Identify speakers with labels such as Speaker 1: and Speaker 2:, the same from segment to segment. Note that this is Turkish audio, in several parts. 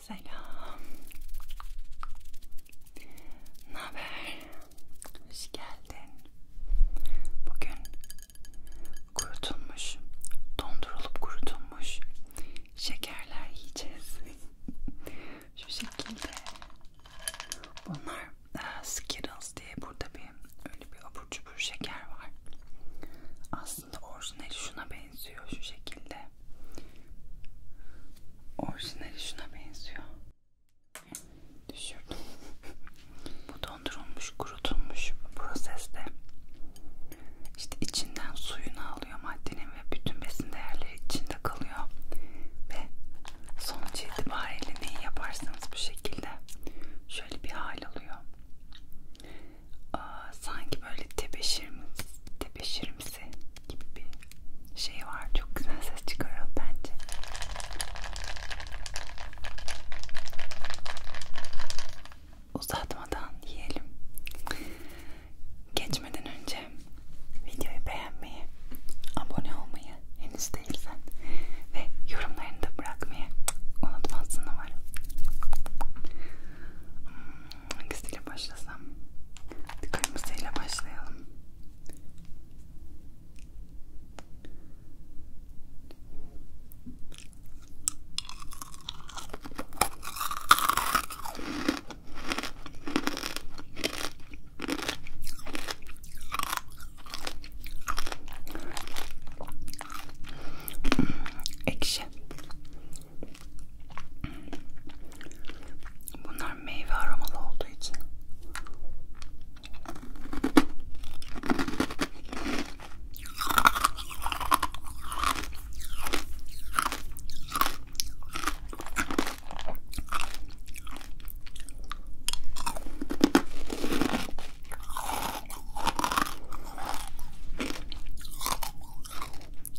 Speaker 1: Selam. Ne haber? Hoş geldin. Bugün kurutulmuş, dondurulup kurutulmuş şekerler yiyeceğiz. Şu şekilde. Bunlar e, Skittles diye burada bir öyle bir abur cubur şeker var. Aslında aslında orijinali şuna benziyor şu şekilde. Orijinali şuna benziyor. Düşürdüm. Bu dondurulmuş, kurutulmuş proseste. İşte içinden suyunu alıyor maddenin ve bütün besin değerleri içinde kalıyor. Ve sonuç itibariyle neyi yaparsanız bu şekilde şöyle bir hal alıyor. Aa, sanki böyle tebeşirimiz, tebeşirimsi gibi bir şey var. Çok güzel ses çıkarıyor bence. Uzatmadan yiyelim. Geçmeden önce videoyu beğenmeyi, abone olmayı henüz değilsen ve yorumlarını da bırakmayı unutmazsın umarım. Hmm, Hangisiyle başlasam? Kırmızıyla başlayalım. Ekşi. Bunlar meyve aromalı olduğu için.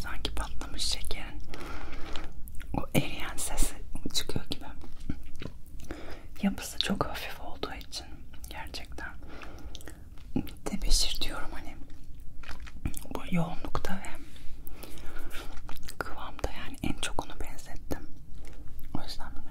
Speaker 1: Sanki patlamış şekerin o eriyen sesi çıkıyor gibi yapısı çok hafif olduğu için gerçekten tebeşir diyorum hani bu yoğunlukta ve kıvamda yani en çok onu benzettim o yüzden bilmiyorum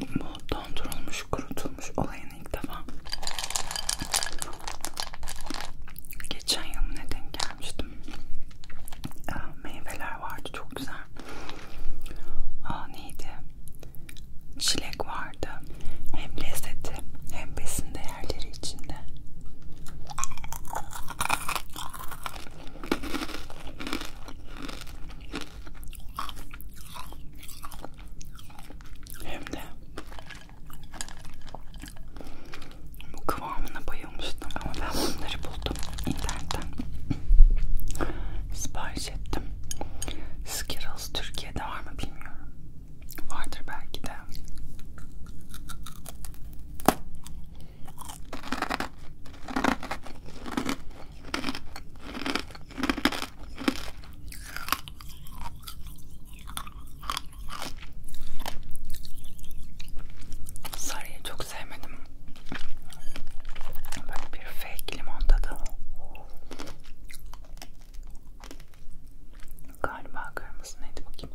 Speaker 1: bu dondurulmuş kurutulmuş olayını ilk defa geçen yıl ne denk gelmiştim meyveler vardı çok güzel Aa, neydi çilek vardı hem lezzeti hem besin değerleri içinde hem de bu kıvamına bayılmıştım ama ben bunları buldum internetten. Sipariş ettim. Skittles Türkiye'de var mı bilmiyorum. Vardır belki de. Sarıyı çok sevmedim. Bak bir fake limon tadı. Galiba kırmızı neydi bakayım.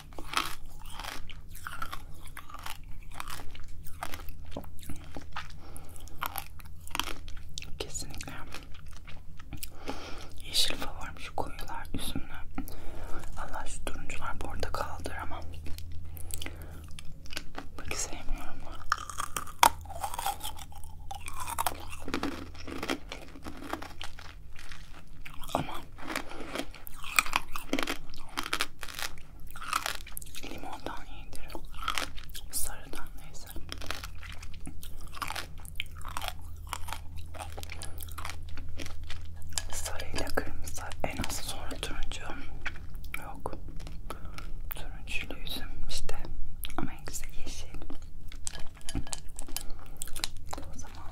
Speaker 1: Kesinlikle yeşil favorim şu koyular üzümlü. Allah şu turuncular portakaldır ama pek sevmiyorum. Ama limondan iyidir. Sarıdan neyse. Sarıyla kırmızı en az sonra turuncu. Yok. Turuncuyla yüzüm işte. Ama en güzel yeşil. O zaman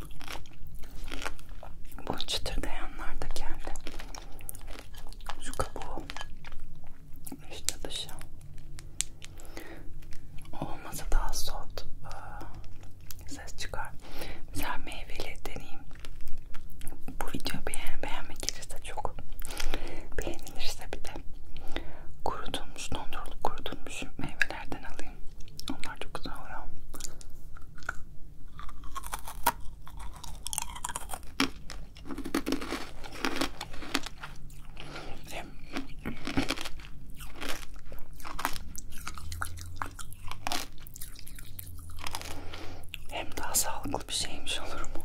Speaker 1: Bu çıtırdayanlar da kendi. Şu kabuğu. İşte dışı. Olmasa daha soft e, ses çıkar. Mesela meyveli deneyim. Bu video beğen beğenmek gelirse çok beğenilirse bir de kurutulmuş dondurulup kurutulmuş meyvelerden alayım. Onlar çok güzel oluyor. Hem daha sağlıklı bir şeymiş olur mu?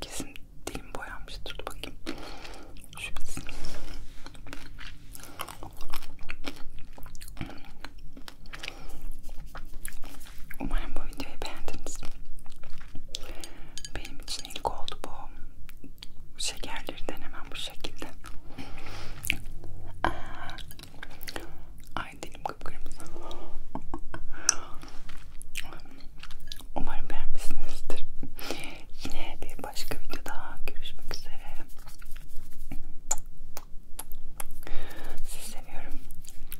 Speaker 1: Kesin dilim boyanmıştır. Dur bakayım. Şu bitsin. Umarım bu videoyu beğendiniz. Benim için ilk oldu bu şekerlerden hemen bu şekilde. Ay dilim kıpkırmızı. Umarım beğenmişsinizdir. Yine bir başka video daha görüşmek üzere. Sizi seviyorum.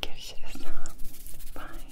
Speaker 1: Görüşürüz. Bye.